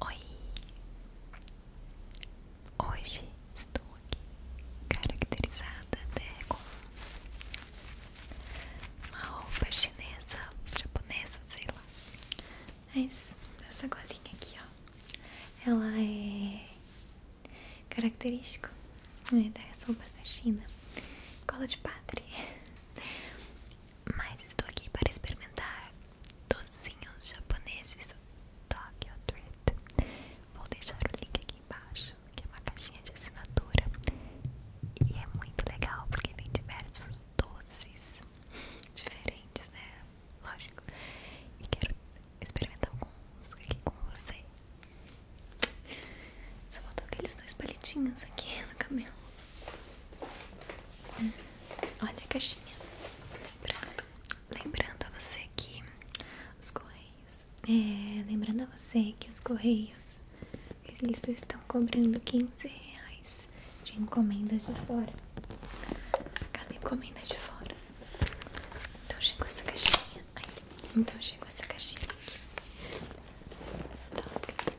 Oi! Hoje estou aqui caracterizada até com uma roupa chinesa, japonesa, sei lá. Mas essa golinha aqui, ó, ela é característica né, da roupa da China. Cola de padre. Mas estou aqui para experimentar docinhos japoneses Tokyo Treat. Vou deixar o link aqui embaixo, que é uma caixinha de assinatura. E é muito legal porque vem diversos doces diferentes, né? Lógico. E quero experimentar alguns aqui com você. Só faltou aqueles dois palitinhos aqui no cabelo. Olha a caixinha. Lembrando, lembrando a você que os correios. É, lembrando você que os correios. Eles estão cobrando 15 reais de encomendas de fora. Cada encomenda de fora. Então chegou essa caixinha. então chegou essa caixinha Tá.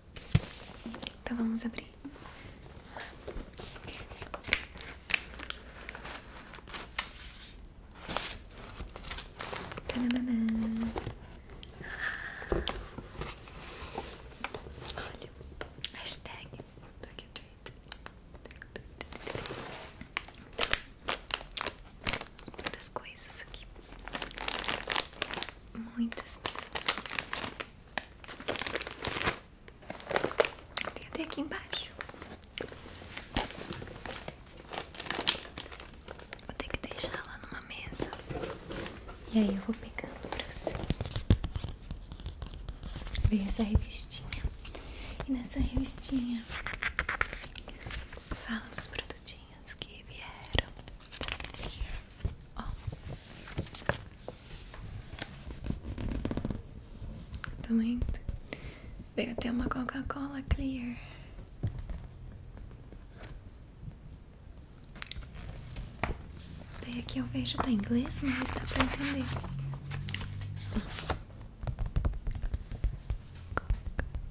Então vamos abrir. Olha, hashtag Muitas coisas aqui. Muitas mesmo. Tem até aqui embaixo. Vou ter que deixar lá numa mesa. E aí eu vou pegando pra vocês. vem essa revistinha. E nessa revistinha fala os produtinhos que vieram. Ó. Tá vendo? Veio até uma Coca-Cola Clear. tem aqui eu vejo tá em inglês, mas dá pra entender. Coca-Cola,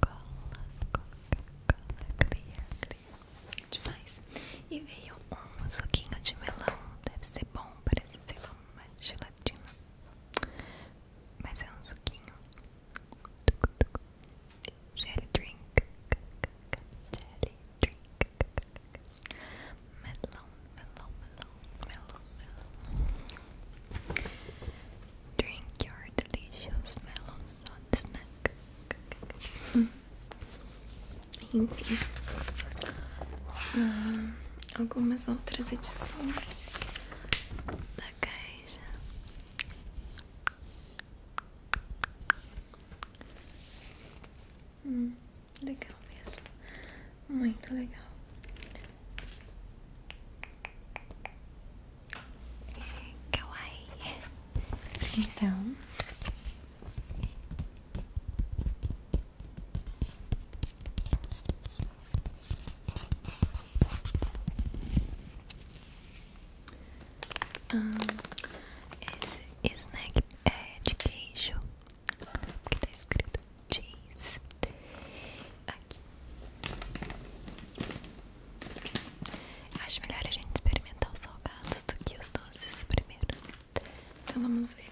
Coca-Cola, clear, clear, e veio um suquinho de melão, deve ser bom, parece sei lá uma gelatina, mas é um suquinho. Jelly drink, jelly drink, melão, melão, melão, melão, melão. Drink your delicious melon salt snack. Enfim, ah, algumas outras edições da caixa. Hum, legal mesmo, muito legal. É, Kawaii. Então, hum, esse snack é de queijo que tá escrito cheese aqui. Acho melhor a gente experimentar os salgados do que os doces primeiro. Então vamos ver.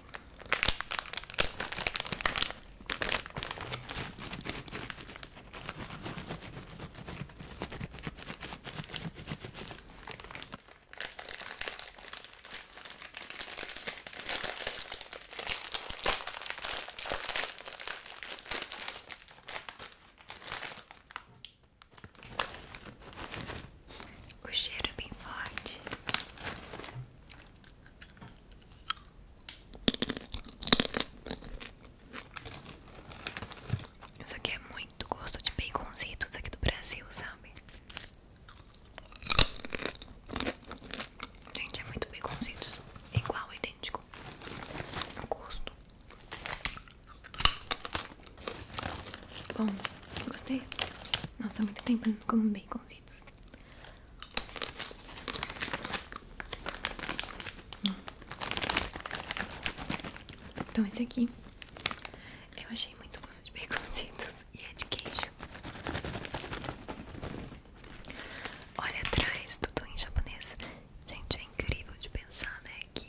O cheiro é bem forte. Isso aqui é muito gosto de baconzitos aqui do Brasil, sabe? Gente, é muito baconzitos. Igual, idêntico. gosto. Bom, gostei. Nossa, há muito tempo eu não como baconzitos. Hum. Então esse aqui eu achei muito gosto de baconzitos e é de queijo. Olha atrás, tudo em japonês. Gente, é incrível de pensar, né? Que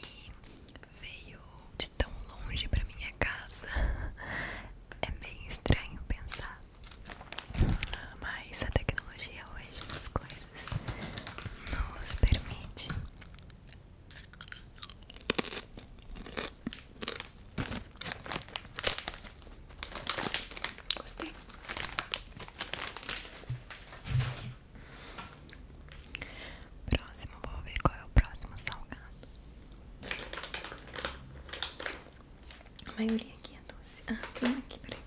veio de tão longe pra minha casa. É bem estranho pensar. Mas a tecnologia hoje, as coisas, nos permite. Gostei. Próximo, vou ver qual é o próximo salgado. A maioria aqui é doce. Ah, tem aqui, peraí.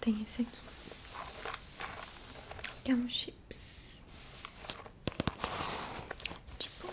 Tem esse aqui. Que é um chips. Tipo.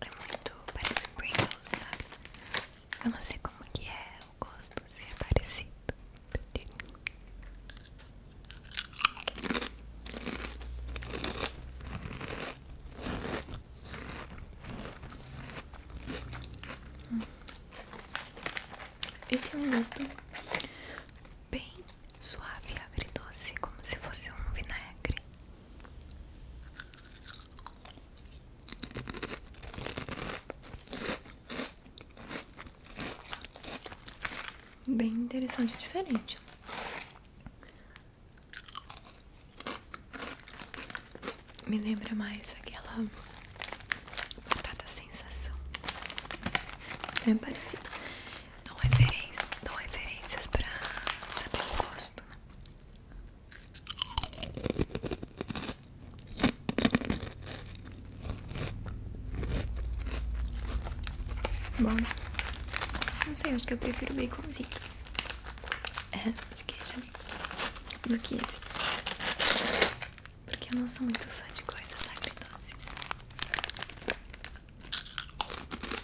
É muito, parece Pringles, sabe? Eu não sei como que é o gosto, se é parecido hum. E tem um gosto bem suave, agridoce, como se fosse um vinagre. Bem interessante e diferente. Me lembra mais aquela batata sensação. É parecido. Dão referências, dão referências pra saber o gosto. Bom, não sei, acho que eu prefiro baconzinhos É, queijo ali. Né? Do que esse. Porque eu não sou muito fã de coisas agridoces.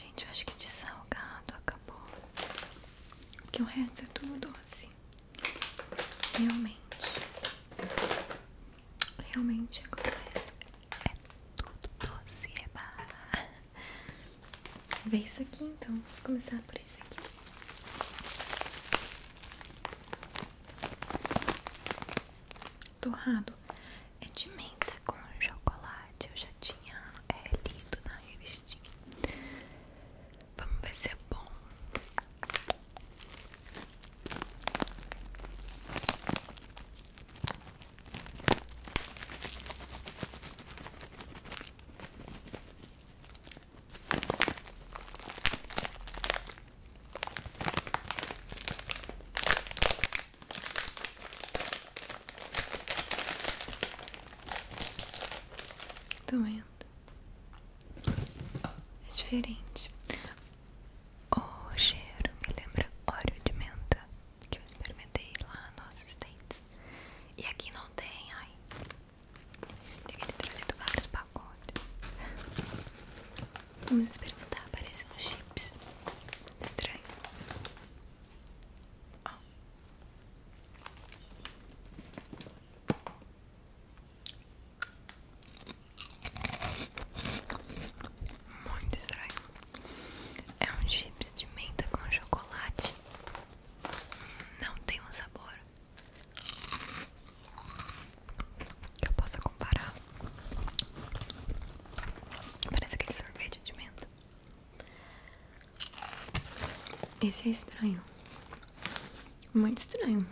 Gente, eu acho que de salgado acabou. Que o resto é tudo doce. Realmente. Realmente agora o é tudo doce, é barra. Vê isso aqui então. Vamos começar por isso aqui torrado é de menta com chocolate. Eu já tinha é, lido na revistinha. Vamos ver se é bom. Tô vendo. É diferente. O cheiro me lembra óleo de menta que eu experimentei lá no nosso States. E aqui não tem, ai. Devia ter trazido vários pacotes. Vamos perguntar parece um chips estranho. Muito estranho. É um chips de menta com chocolate. Não tem um sabor que eu possa comparar. Parece aquele sorvete de menta. Esse é estranho. Muito estranho.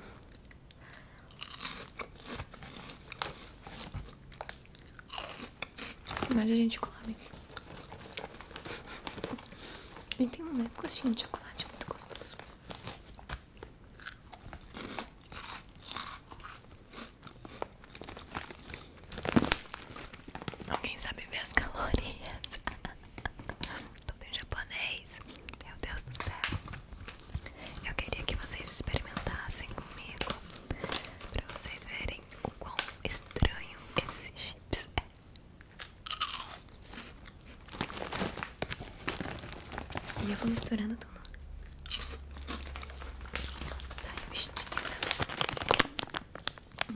Mas a gente come. E tem um leve de chocolate muito gostoso. Alguém sabe ver as calorias? Tudo em japonês. Meu Deus do céu. Eu queria que vocês experimentassem comigo. Pra vocês verem o quão estranho esse chips é. E eu vou misturando tudo.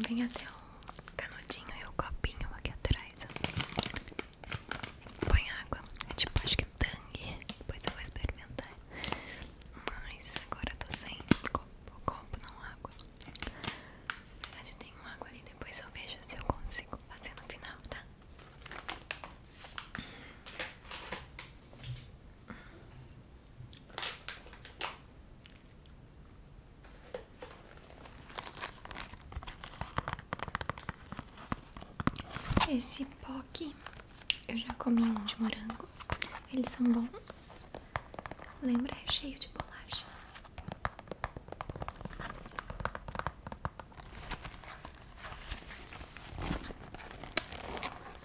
Vem até o canudinho e o copinho aqui atrás. Põe água. É tipo, acho que é tangue. Depois eu vou experimentar. Mas agora eu tô sem copo, não água. Na verdade, tem uma água ali. Depois eu vejo se eu consigo fazer no final, tá? Esse pó aqui eu já comi um de morango, eles são bons, lembra recheio é de bolacha.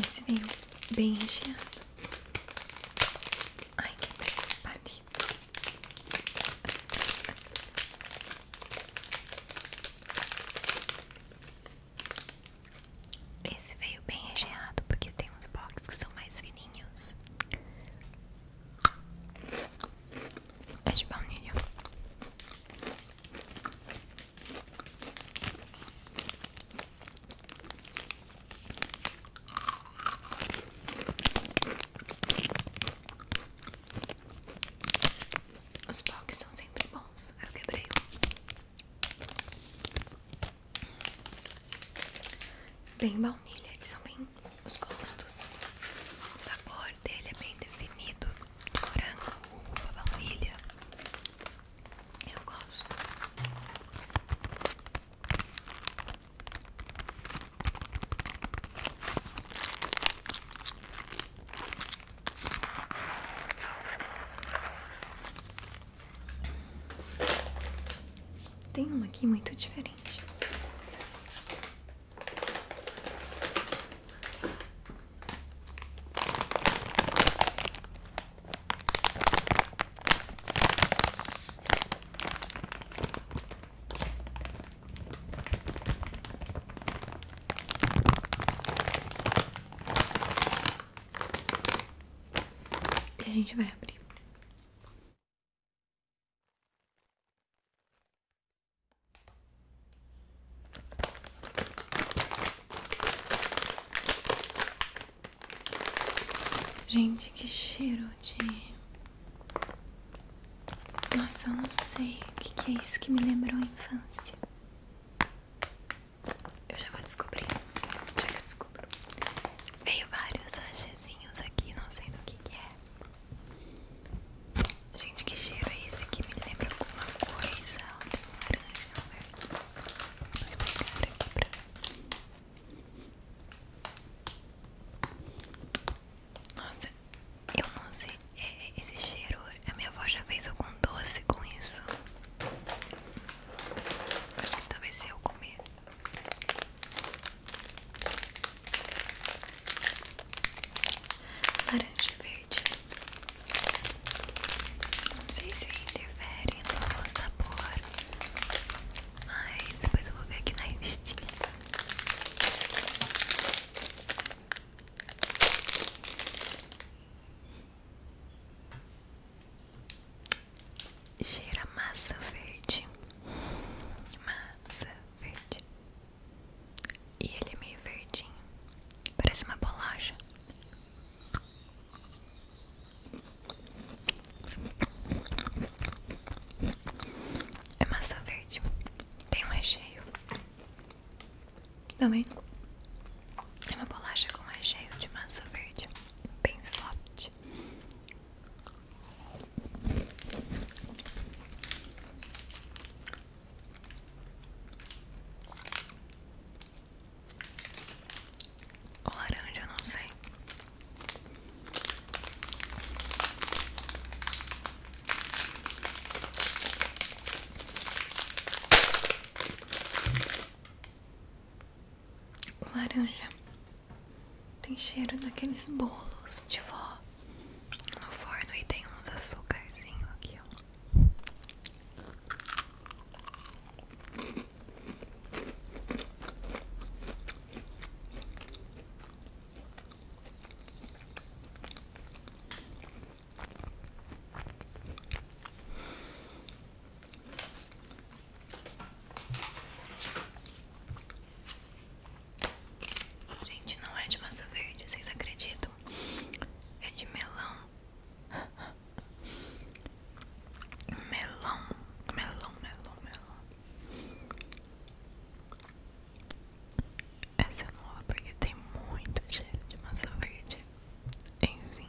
Esse veio bem recheado. Ai, que belo palito. Esse veio bem recheado porque tem uns boxes que são mais fininhos. É de baunilha. Os box são sempre bons. Eu quebrei Bem baunilha, que são bem os gostos. O sabor dele é bem definido: morango, uva, baunilha. Eu gosto. Tem uma aqui muito diferente. E a gente vai abrir. Gente, que cheiro de. Nossa, eu não sei o que, é isso que me lembrou a infância. Eu já vou descobrir. Já que eu descubro. Veio vários sachezinhos aqui, não sei do que, é. Gente, que cheiro é esse que me lembra alguma coisa? Laranja, velho. Vamos pegar aqui pra. Nossa, eu não sei. É, é, esse cheiro, a minha avó já fez algum doce com isso. Acho que talvez se eu comer laranja e verde. Não sei se interfere no sabor, mas depois eu vou ver aqui na revistinha. Cheira massa verde. Massa verde. E ele é meio verdinho. Parece uma bolacha. É massa verde. Tem um recheio. Também. É uma bolacha com recheio de massa verde. Bem soft laranja, não sei. Laranja tem cheiro daqueles bolos de vó no forno e tem uns açúcarzinhos aqui, Gente, não é de massa verde, vocês acreditam? É de melão. melão, melão, melão, melão. Essa é nova porque tem muito cheiro de massa verde. Enfim.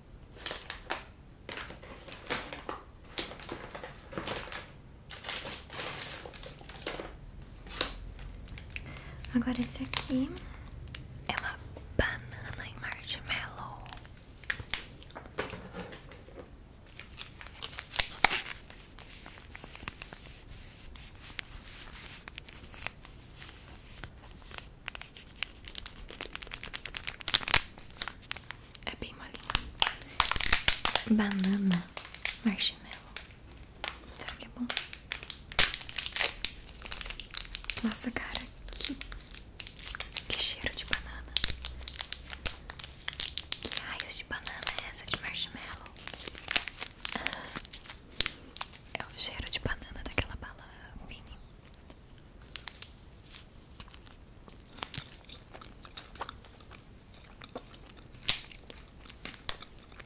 Agora esse aqui é uma banana em marshmallow. É bem molinho. Banana marshmallow. Será que é bom? Nossa, cara, que, cheiro de banana. Que raios de banana é essa de marshmallow? Ah, é o cheiro de banana daquela bala mini.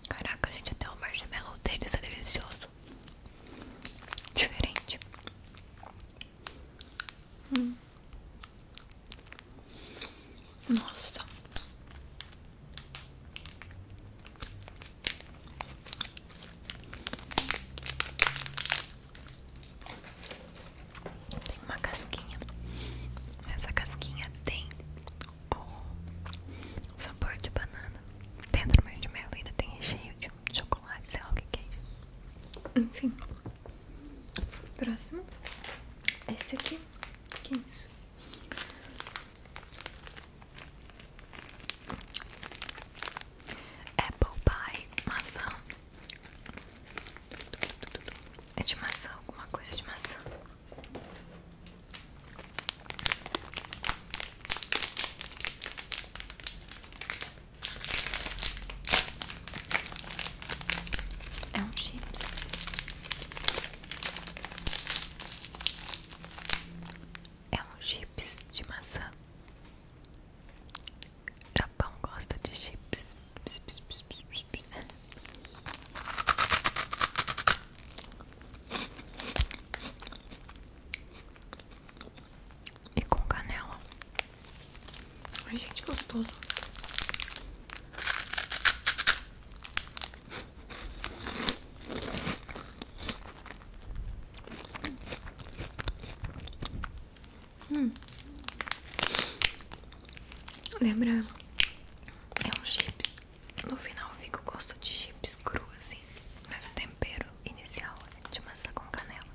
Caraca, gente, até o marshmallow deles é delicioso. Diferente. Hum. Nossa. Tem uma casquinha. Essa casquinha tem o sabor de banana. Dentro do marshmallow ainda tem recheio de chocolate, sei lá o que, é isso. Enfim. Próximo. Esse aqui. Que é isso? Apple pie, maçã É de maçã, alguma coisa de maçã É um chips É um chips de maçã Japão gosta de chips. E com canela. Ai, gente, gostoso. Hum. lembrando É um chips. No final fica o gosto de chips cru assim. Mas o tempero inicial é de massa com canela.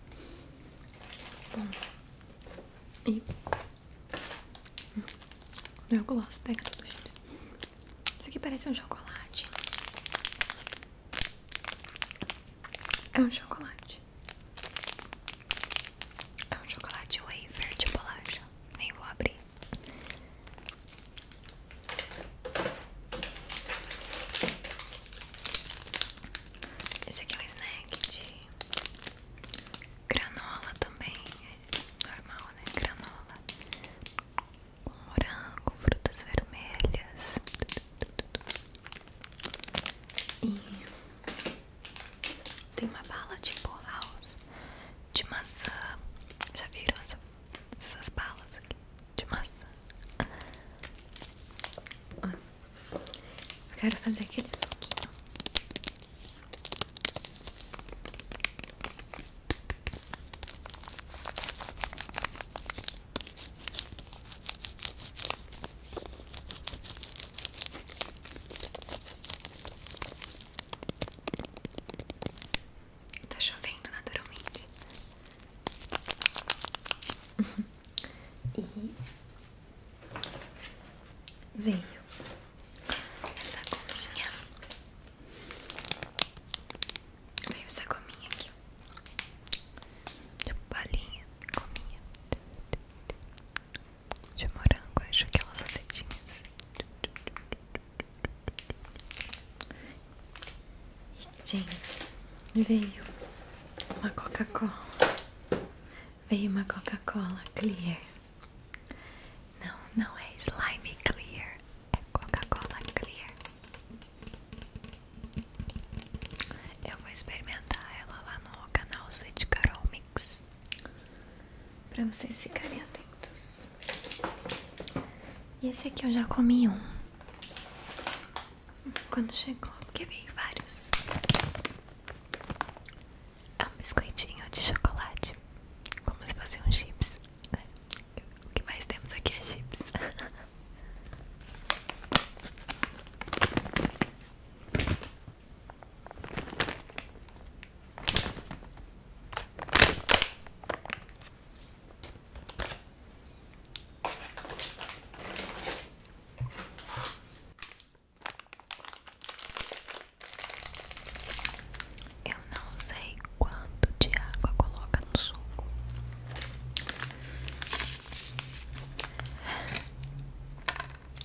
Bom. Hum. E. Hum. Meu gloss pega tudo chips. Isso aqui parece um chocolate. É um chocolate. É um chocolate wafer de bolacha. Nem vou abrir. Esse aqui é um snack de granola também. normal, né? Granola. Com morango, frutas vermelhas. Tudo e tem uma bala de house de maçã. Já viram essas balas aqui de maçã? Eu quero fazer aquele suquinho. Tá chovendo naturalmente. e veio essa gominha. Veio essa gominha aqui. Tipo, balinha, cominha de morango, acho aquelas azedinhas e, gente, veio uma coca-cola veio uma coca-cola clear não, não é slime clear é coca-cola clear eu vou experimentar ela lá no canal Sweet Carol Mix Pra vocês ficarem atentos E esse aqui eu já comi um Quando chegou, porque veio vários É um biscoitinho de chocolate Como se fosse um chips né? O que mais temos aqui é chips Eu não sei quanto de água coloca no suco.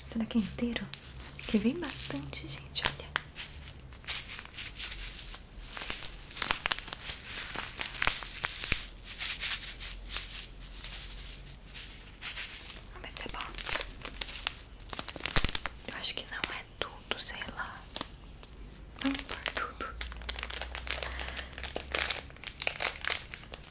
Será que é inteiro? Que vem bastante, gente, olha. Mas é bom. Eu acho que não é tudo, sei lá. Não é tudo.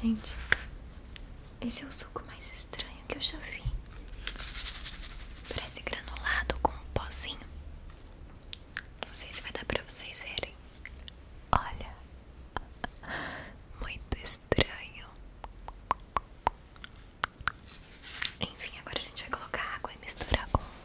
Gente, esse é o suco mais estranho que eu já vi. Parece granulado com um pozinho. Não sei se vai dar pra vocês verem. Olha, muito estranho. Enfim, agora a gente vai colocar água e misturar com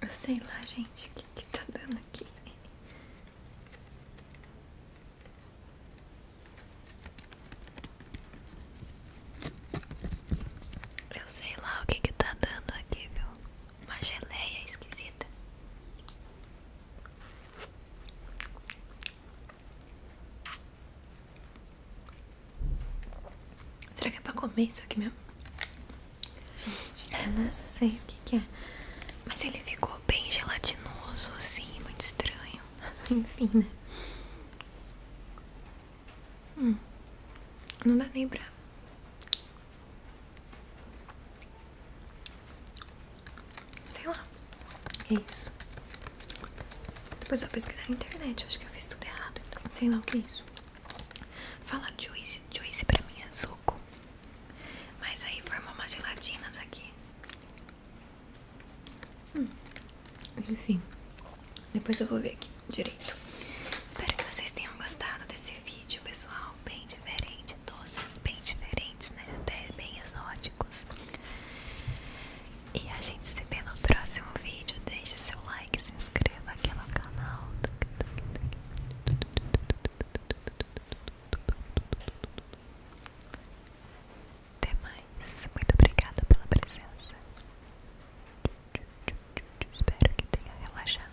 Eu sei lá, gente, o que, que tá dando aqui. Eu sei lá o que que tá dando aqui, viu? Uma geleia esquisita. Será que é pra comer isso aqui mesmo? Gente, eu não sei o que, é. Mas ele ficou bem gelatinoso, assim, muito estranho. Enfim, né? Hum. Não dá nem pra. Sei lá. É isso. Depois eu vou pesquisar na internet. acho que eu fiz tudo errado. Então. sei lá o que é isso. Fala Joyce, Joyce pra mim é suco. Mas aí formou umas gelatinas aqui. Hum. Enfim. Depois eu vou ver aqui direito. Espero que vocês tenham gostado desse vídeo, pessoal bem diferentes, doces bem diferentes, né? Até bem exóticos. E a gente se vê no próximo vídeo. Deixe seu like, se inscreva aqui no canal. Até mais. Muito obrigada pela presença. Espero que tenha relaxado.